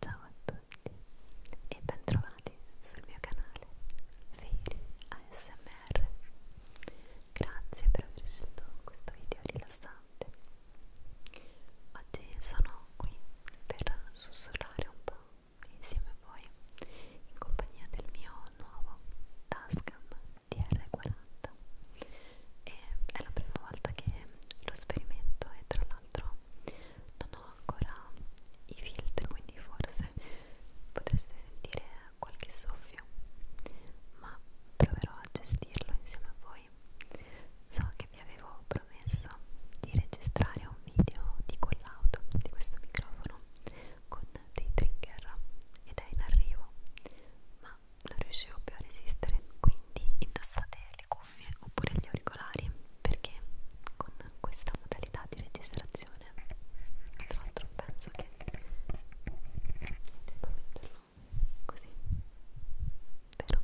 Ciao a tutti e bentrovati sul mio canale Fairy ASMR. Grazie per aver scelto questo video rilassante. Oggi sono qui per sussurrare un po' insieme a voi in compagnia del mio nuovo Tascam TR40 e è la prima volta che lo sperimento e tra l'altro l'altro non ho ancora i filtri quindi forse potreste sentire qualche soffio ma proverò a gestirlo insieme a voi so che vi avevo promesso di registrare un video di quell'auto di questo microfono con dei trigger ed è in arrivo ma non riuscivo più a resistere quindi indossate le cuffie oppure gli auricolari perché con questa modalità di registrazione tra l'altro penso che devo metterlo così vero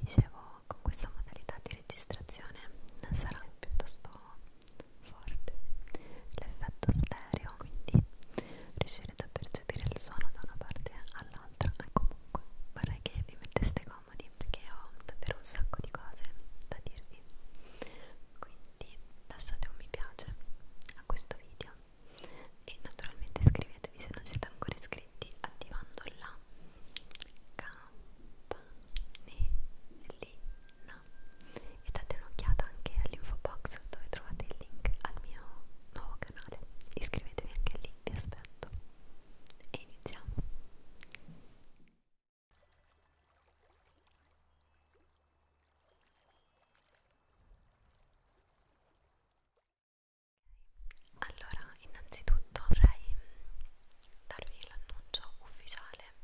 dicevo con questa modalità di registrazione sarà piuttosto forte l'effetto stereo quindi riuscirete a percepire il suono da una parte all'altra e comunque vorrei che vi metteste comodi perché ho davvero un sacco di cose da dirvi quindi lasciate un mi piace a questo video e naturalmente iscrivetevi se non siete ancora iscritti attivando la campanellina e date un'occhiata anche all'info box dove trovate il link al mio nuovo canale iscrivetevi anche lì vi aspetto e iniziamo. Allora, innanzitutto vorrei mm, darvi l'annuncio ufficiale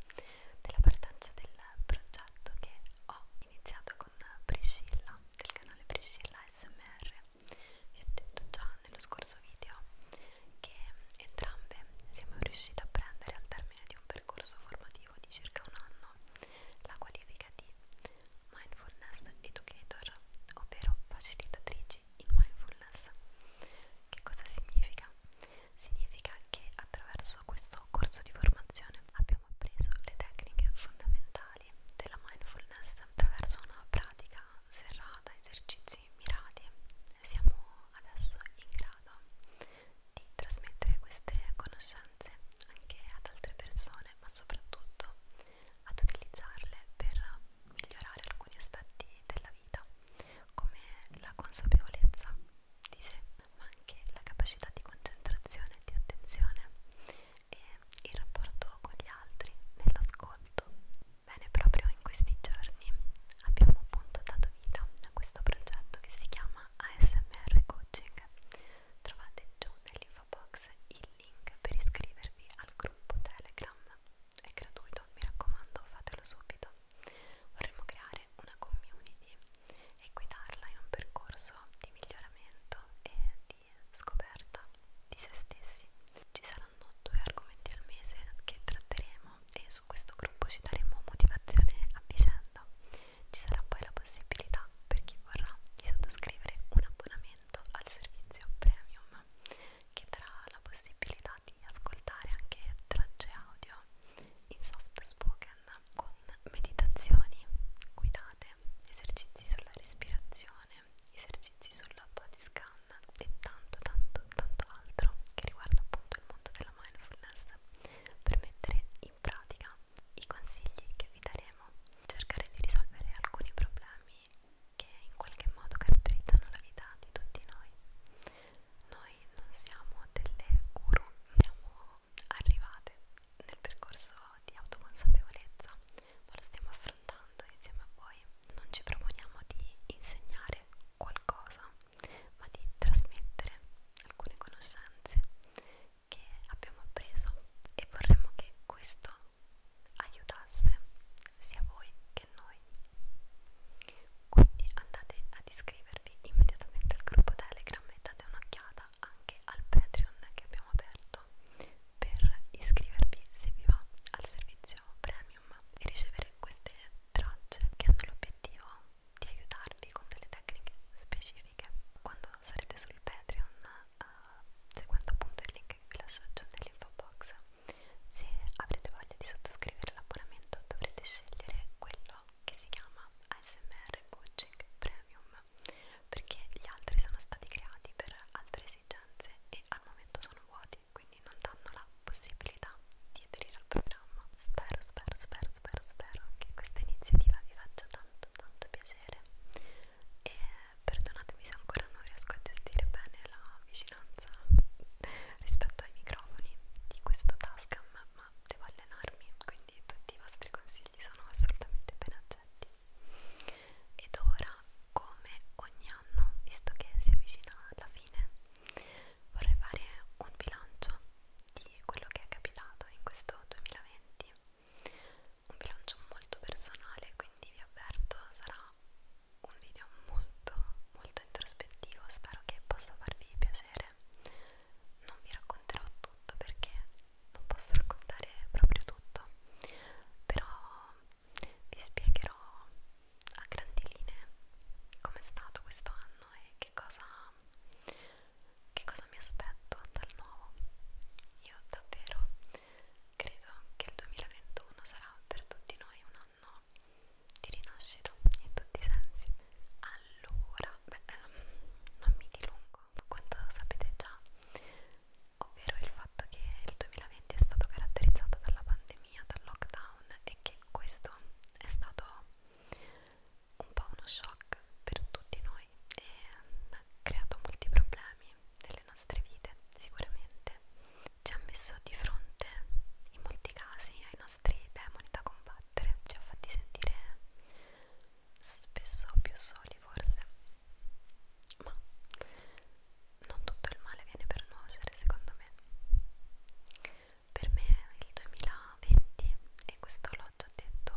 della partenza del progetto che ho iniziato con Priscilla del canale Priscilla SMR vi ho detto già nello scorso video che entrambe siamo riuscite a prendere al termine di un percorso formativo di circa un anno la qualifica di Mindfulness Educator, ovvero facilitatrici in mindfulness. Che cosa significa? Significa che attraverso questo corso di formazione abbiamo appreso le tecniche fondamentali mentali della mindfulness attraverso una pratica serrata, esercizi mirati, siamo adesso in grado di trasmettere queste conoscenze anche ad altre persone, ma soprattutto ad utilizzarle per migliorare alcuni aspetti della vita, come la consapevolezza di sé, ma anche la capacità di concentrazione e di attenzione e il rapporto con gli altri nell'ascolto. Bene, proprio in questi giorni abbiamo appunto dato vita a questo progetto che si chiama ASMR Coaching. Trovate giù nell'info box il link per iscrivervi al gruppo Telegram. È gratuito, mi raccomando, fatelo subito. Vorremmo creare una community e guidarla in un percorso di miglioramento e di scoperta di se stessi. Ci saranno due argomenti al mese che tratteremo e su questo gruppo ci daremo motivazione a vicenda. Ci sarà poi la possibilità per chi vorrà di sottoscrivere un abbonamento al servizio premium che darà la possibilità di ascoltare anche tracce audio in soft spoken con meditazioni guidate giornate, esercizi sulla respirazione, esercizi sulla body scan e tanto tanto tanto altro che riguarda appunto il mondo della mindfulness per mettere in pratica i consigli che vi daremo, cercare di risolvere alcuni problemi che in qualche modo caratterizzano la vita di tutti noi. Noi non siamo delle guru, siamo arrivate nel percorso di autoconsapevolezza, ma lo stiamo affrontando insieme a voi. Non ci proponiamo di insegnare qualcosa, ma di trasmettere alcune conoscenze che abbiamo appreso e vorremmo che questo aiutasse sia voi che noi. Quindi andate ad iscrivervi immediatamente al gruppo Telegram e date un'occhiata anche al Patreon che abbiamo aperto per iscrivervi se vi va al servizio premium e ricevere queste tracce che hanno l'obiettivo di aiutarvi con delle tecniche specifiche quando sarete sul Patreon uh, seguendo appunto il link che vi lascio giù nell'info box se avrete voglia di sottoscrivere l'abbonamento dovrete scegliere quello che si chiama ASMR Coaching Premium nuova perché gli altri sono stati creati per altre esigenze e al momento sono vuoti quindi non danno la possibilità di aderire al programma spero spero spero spero spero che questa iniziativa vi faccia tanto tanto piacere e perdonatemi se ancora non riesco a gestire bene la vicinanza rispetto ai microfoni di questo Tascam ma devo allenarmi, quindi tutti i vostri consigli sono assolutamente ben accetti. Ed ora, come ogni anno, visto che si avvicina alla fine, vorrei fare un bilancio di quello che è capitato in questo 2020. Un bilancio molto personale, quindi vi avverto, sarà un video molto molto introspettivo, spero che possa farvi piacere non vi racconterò tutto perché non posso raccontare proprio tutto, però vi spiegherò a grandi linee com'è stato questo anno e che cosa, che cosa mi aspetto dal nuovo. Io davvero credo che il 2021 sarà per tutti noi un anno di rinascita in tutti i sensi. Al allora beh, ehm, non mi dilungo quanto sapete già ovvero il fatto che il 2020 è stato caratterizzato dalla pandemia, dal lockdown e che questo è stato un po' uno shock per tutti noi e ha creato molti problemi nelle nostre vite sicuramente ci ha messo di fronte in molti casi ai nostri demoni da combattere ci ha fatti sentire spesso più soli forse ma non tutto il male viene per nuocere secondo me per me il 2020 e questo l'ho già detto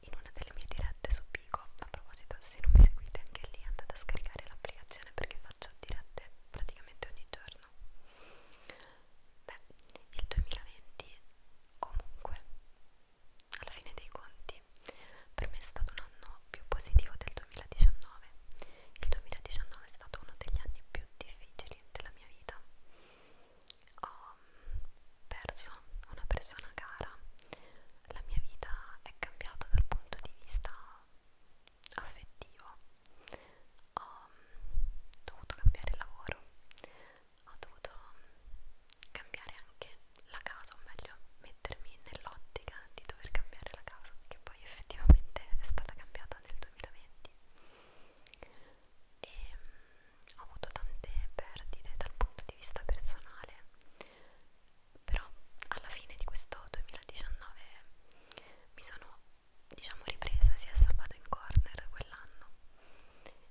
in una delle mie dirette su Pico a proposito se non mi seguite anche lì andate a scaricare l'applicazione perché faccio dirette praticamente ogni giorno beh il 2020 Comunque, alla fine dei conti, per me è stato un anno più positivo del 2019. Il 2019 è stato uno degli anni più difficili della mia vita. Ho mm, perso una persona cara, la mia vita è cambiata dal punto di vista affettivo. Ho mm, dovuto cambiare lavoro, ho dovuto cambiare anche la casa, o meglio mettermi nell'ottica di dover cambiare la casa, che poi effettivamente è stata cambiata nel 2020 e mm, ho avuto tante perdite dal punto di vista personale, però alla fine di questo 2019 mi sono diciamo ripresa si è salvato in corner quell'anno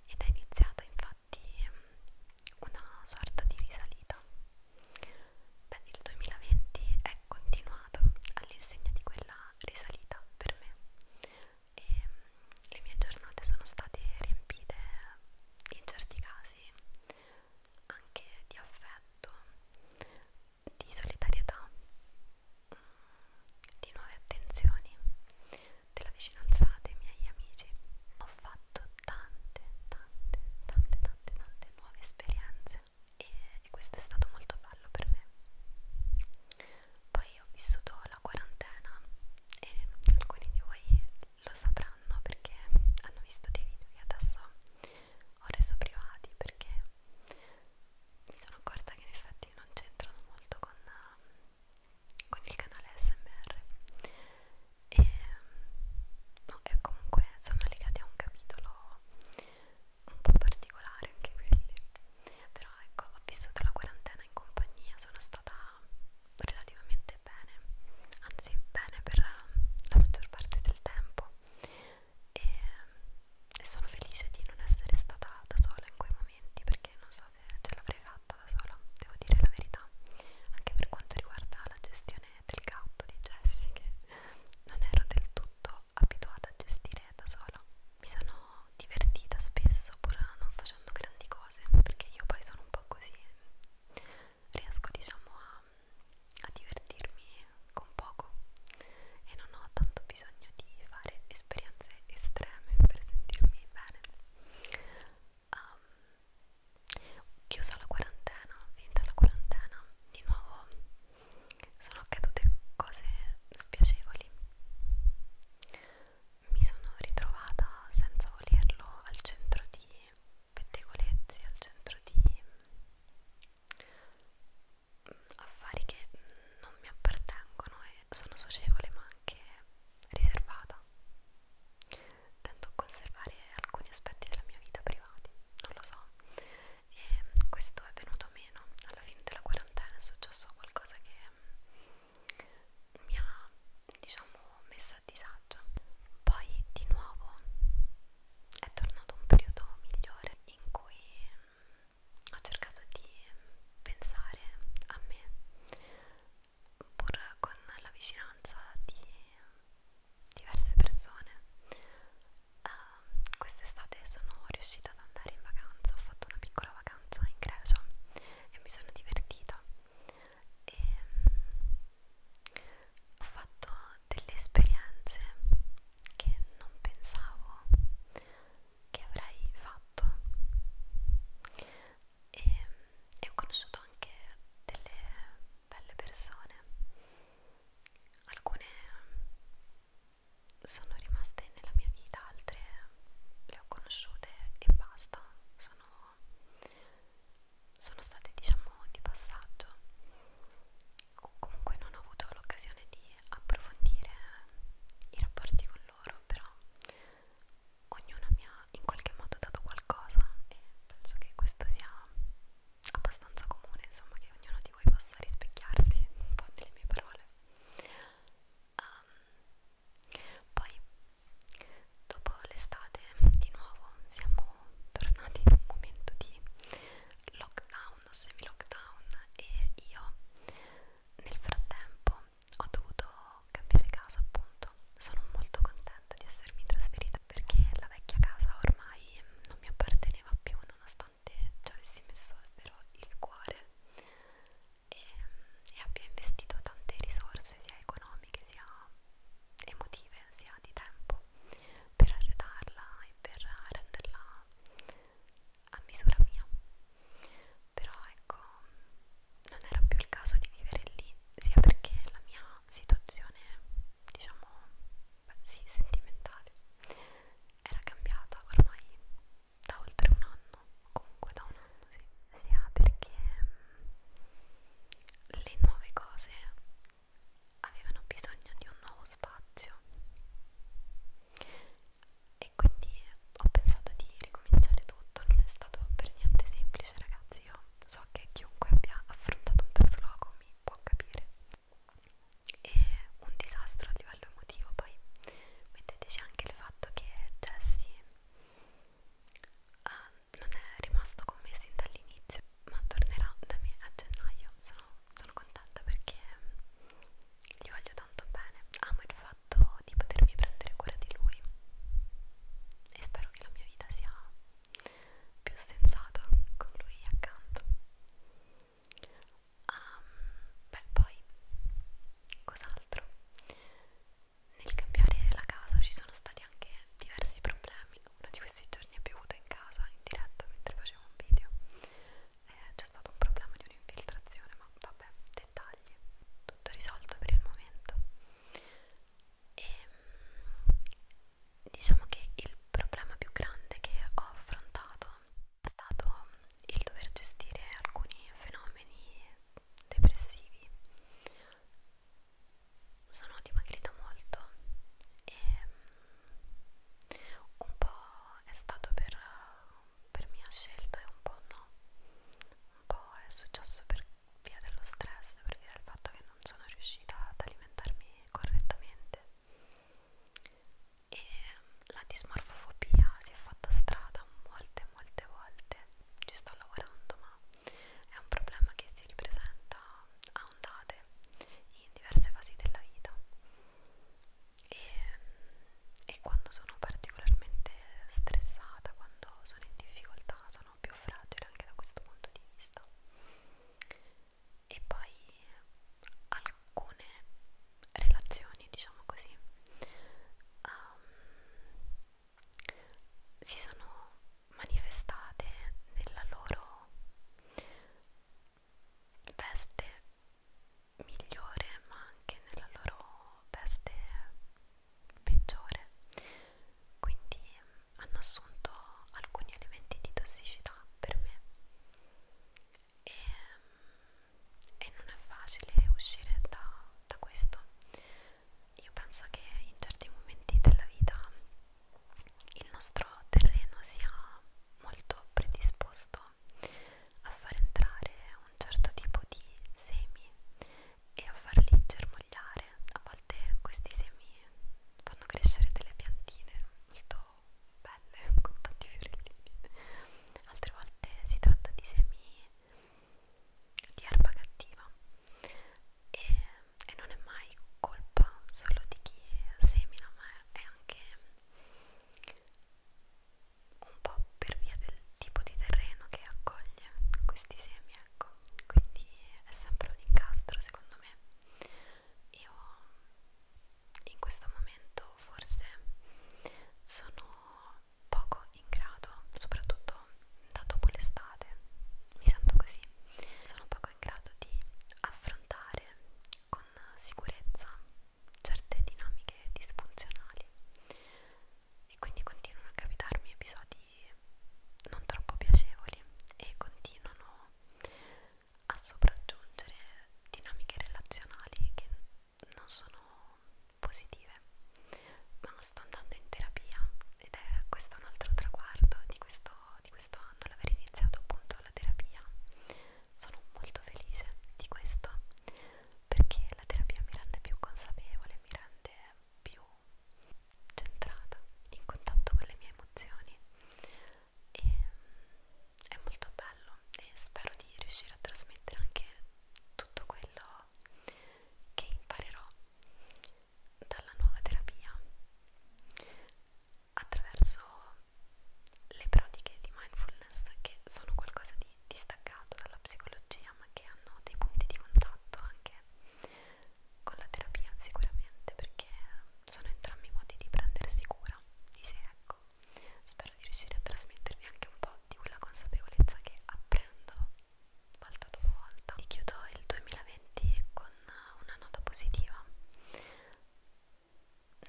ed è iniziata infatti una sorta di risalita. Beh, il 2020 è continuato all'insegna di quella risalita per me e le mie giornate sono state riempite in certi casi anche di affetto, di solidarietà di nuove attenzioni, della vicinanza dei miei amici. Ho fatto tante, tante, tante, tante, tante nuove esperienze e, e questo è stato molto bello per me. Poi ho vissuto la quarantena e alcuni di voi lo sapranno perché hanno visto dei video che adesso ho reso privati perché mi sono accorta che in effetti non c'entrano molto con, uh, con il canale SMR e, ehm, no, e comunque sono legati a un capitolo un po' particolare anche quelli però ecco ho vissuto la quarantena in compagnia sono stata relativamente bene anzi bene per la maggior parte del tempo e ehm, e sono felice di non essere stata da sola in quei momenti perché non so se ce l'avrei fatta da sola, devo dire la verità, anche per quanto riguarda la gestione del gatto di Jessie che non ero del tutto abituata a gestire da sola. Mi sono divertita spesso pur non facendo grandi cose perché io poi sono un po' così, riesco diciamo a, a divertirmi con poco e non ho tanto bisogno di fare esperienze estreme per sentirmi bene. Um, chiusa la quarantena, finita la quarantena, di nuovo sono accadute cose spiacevoli. Mi sono ritrovata senza volerlo al centro di pettegolezzi, al centro di affari che non mi appartengono e sono socievole ma anche riservata. Tento a conservare alcuni aspetti della mia vita privati, non lo so. E questo è venuto meno alla fine della quarantena, è successo qualcosa che mi ha, diciamo, messa a disagio. Poi di nuovo è tornato un periodo migliore in cui ho cercato di pensare a me pur con la vicinanza di diverse persone uh, quest'estate sono riuscita ad andare in vacanza ho fatto una piccola vacanza in Grecia e mi sono divertita e um, ho fatto delle esperienze che non pensavo che avrei fatto e, e ho conosciuto anche delle belle persone alcune sono rimaste nella mia vita altre le ho conosciute e basta sono, sono state diciamo di passaggio comunque non ho avuto l'occasione di approfondire i rapporti con loro, però ognuno mi ha in qualche modo dato qualcosa e penso che questo sia abbastanza comune, insomma, che ognuno di voi possa rispecchiarsi un po' nelle mie parole. Um, poi dopo l'estate di nuovo siamo tornati in un momento di lockdown lockdown, semi lockdown e io nel frattempo ho dovuto cambiare casa appunto sono molto contenta di essermi trasferita perché la vecchia casa ormai non mi apparteneva più nonostante ci avessi messo davvero il cuore e, e abbia investito tante risorse sia economiche sia emotive sia di tempo per arredarla e per renderla a misura mia però ecco non era più il caso di vivere lì sia perché la mia situazione diciamo beh, sì sentimentale era cambiata ormai da oltre un anno comunque da un anno sì sia perché le nuove cose avevano bisogno di un nuovo spazio e quindi ho pensato di ricominciare tutto, non è stato per niente semplice ragazzi, io so che chiunque abbia affrontato un trasloco mi può capire, è un disastro a livello emotivo, poi metteteci anche il fatto che Jessie uh, ah, non è rimasto con me sin dall'inizio, ma tornerà da me a gennaio, sono sono contenta perché gli voglio tanto bene. Amo il fatto di potermi prendere cura di lui e spero che la mia vita sia più sensata con lui accanto. Um, beh, poi cos'altro? Nel cambiare la casa ci sono stati anche diversi problemi uno di questi giorni è piovuto in casa in diretta mentre facevo un video eh, c'è stato un problema di un'infiltrazione ma vabbè dettagli tutto risolto per il momento e ehm, diciamo che il problema più grande che ho affrontato è stato il dover gestire alcuni fenomeni depressivi sono dimagrita molto e mm, un po' è stato per, per mia scelta e un po' no, un po' è successo per via dello stress, per via del fatto che non sono riuscita ad alimentarmi correttamente e mm, la dismorfofobia si è fatta strada molte molte volte, ci sto lavorando ma è un problema che si ripresenta a ondate in diverse fasi della vita e, e quando sono particolarmente stressata, quando sono in difficoltà, sono più fragile anche da questo punto di vista. E poi alcune relazioni, diciamo così, um, si sono manifestate nella loro veste migliore ma anche nella loro veste peggiore quindi hanno assunto alcuni elementi di tossicità per me e, e non è facile uscire da, da questo io penso che in certi momenti della vita il nostro terreno sia molto predisposto a far entrare un certo tipo di semi e a farli germogliare. A volte questi semi fanno crescere delle piantine molto belle con tanti fiorellini, altre volte si tratta di semi di erba cattiva e e non è mai colpa solo di chi semina, ma è anche un po' per via del tipo di terreno che accoglie questi semi, ecco, quindi è sempre un incastro secondo me. Io in questo momento forse sono poco in grado, soprattutto da dopo l'estate, mi sento così, sono poco in grado di affrontare con sicurezza certe dinamiche disfunzionali e quindi continuano a capitarmi episodi non troppo piacevoli e continuano a sopraggiungere dinamiche relazionali che non sono positive ma sto andando in terapia ed è questo è un altro traguardo di questo, di questo anno, l'aver iniziato appunto la terapia. Sono molto felice di questo perché la terapia mi rende più consapevole, mi rende più centrata, in contatto con le mie emozioni e mm, è molto bello e spero di riuscire a trasmettere anche tutto quello che imparerò dalla nuova terapia attraverso le pratiche di mindfulness che sono qualcosa di distaccato dalla psicologia ma che hanno dei punti di contatto anche con la terapia sicuramente perché sono entrambi modi di prendersi cura di sé ecco spero di riuscire a trasmettervi anche un po' di quella consapevolezza che apprendo volta dopo volta. Ti chiudo il 2020 con una nota positiva.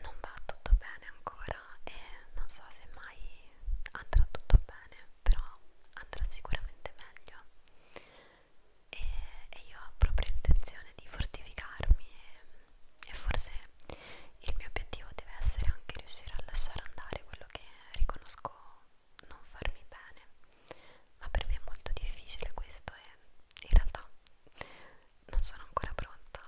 Non va tutto bene ancora e non so se mai andrà tutto bene, però andrà sicuramente meglio. E, e io ho proprio intenzione di fortificarmi e, e forse il mio obiettivo deve essere anche riuscire a lasciare andare quello che riconosco non farmi bene ma per me è molto difficile questo e in realtà non sono ancora pronta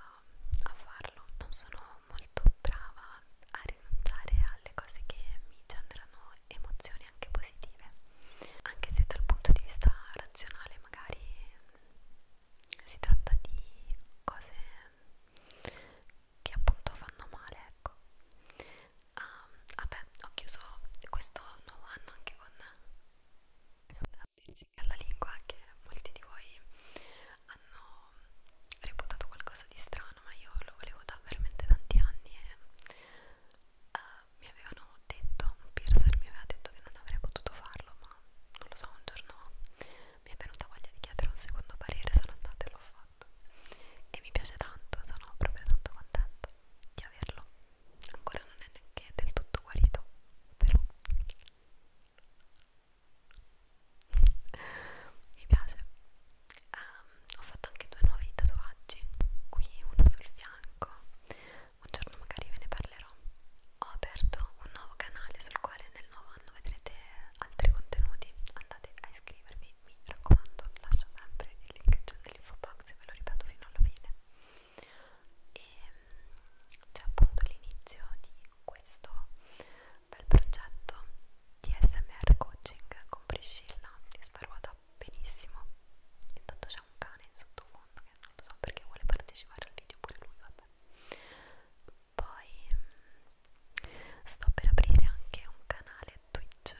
a farlo non sono molto brava a rinunciare alle cose che mi generano emozioni anche positive anche se dal punto di vista razionale magari si tratta di cose che appunto fanno male ecco ah, vabbè ho chiuso questo nuovo anno anche con la pizzica alla lingua che molti di voi hanno reputato qualcosa di strano ma io lo volevo da veramente tanti anni e uh, mi avevano detto, un piercer mi aveva detto che non avrei potuto farlo ma non lo so un giorno mi è venuta voglia di chiedere un secondo parere sono andata e l'ho fatto fatto e mi piace tanto, sono proprio tanto contenta di averlo ancora non è neanche del tutto guarito però mi piace um, ho fatto anche due nuovi tatuaggi qui uno sul fianco un giorno magari ve ne parlerò ho aperto un nuovo canale sul quale nel nuovo anno vedrete altri contenuti andate a iscrivervi mi raccomando lascio sempre il link cioè dell'info box ve lo ripeto fino alla fine e ehm, c'è appunto l'inizio di questo bel progetto di SMR coaching con Priscilla che spero vada benissimo intanto c'è un cane in sottofondo che non lo so perché vuole partecipare al video pure lui vabbè poi mm, sto per aprire anche un canale Twitch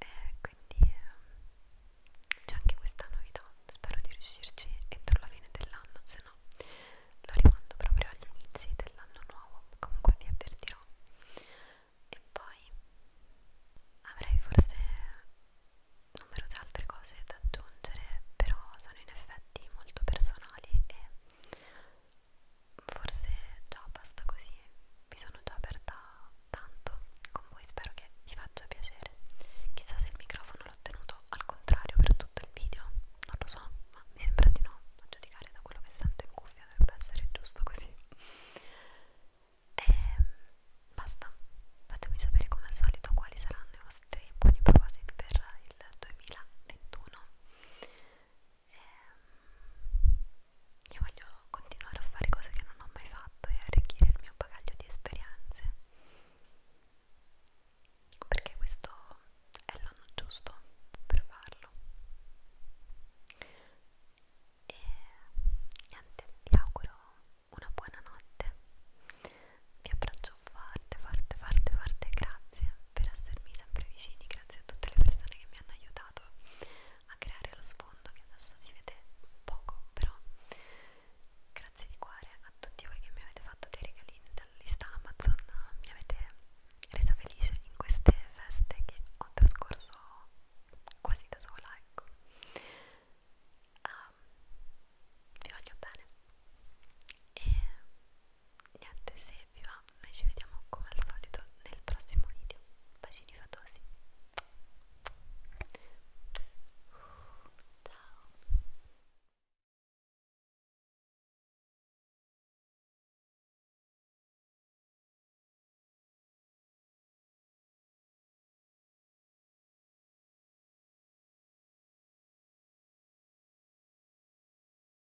e quindi eh, c'è anche questa novità spero di riuscirci entro la fine dell'anno se no lo rimando proprio agli inizi dell'anno nuovo comunque vi avvertirò e poi avrei forse numerose altre cose da aggiungere però sono in effetti molto personali e forse già basta così, mi sono già aperta tanto con voi, spero che vi faccia piacere. Chissà se il microfono l'ho tenuto al contrario per tutto il video, non lo so, ma mi sembra di no, a giudicare da quello che sento in cuffia dovrebbe essere giusto così. E ehm, basta, fatemi sapere come al solito quali saranno i vostri buoni propositi per il 2021. E ehm, io voglio continuare a fare cose che non ho mai fatto e arricchire il mio bagaglio di esperienze perché questo è l'anno giusto per farlo e niente, vi auguro una buona notte vi abbraccio forte, forte, forte, forte grazie per essermi sempre vicini, grazie a tutte le persone che mi hanno aiutato a creare lo sfondo che adesso si vede poco, però grazie di cuore a tutti voi che mi avete fatto dei regalini dalla lista Amazon, mi avete resa felice in queste feste che ho trascorso quasi da sola, ecco. Um, vi voglio bene e niente se vi va noi ci vediamo come al solito nel prossimo video bacini fatosi ciao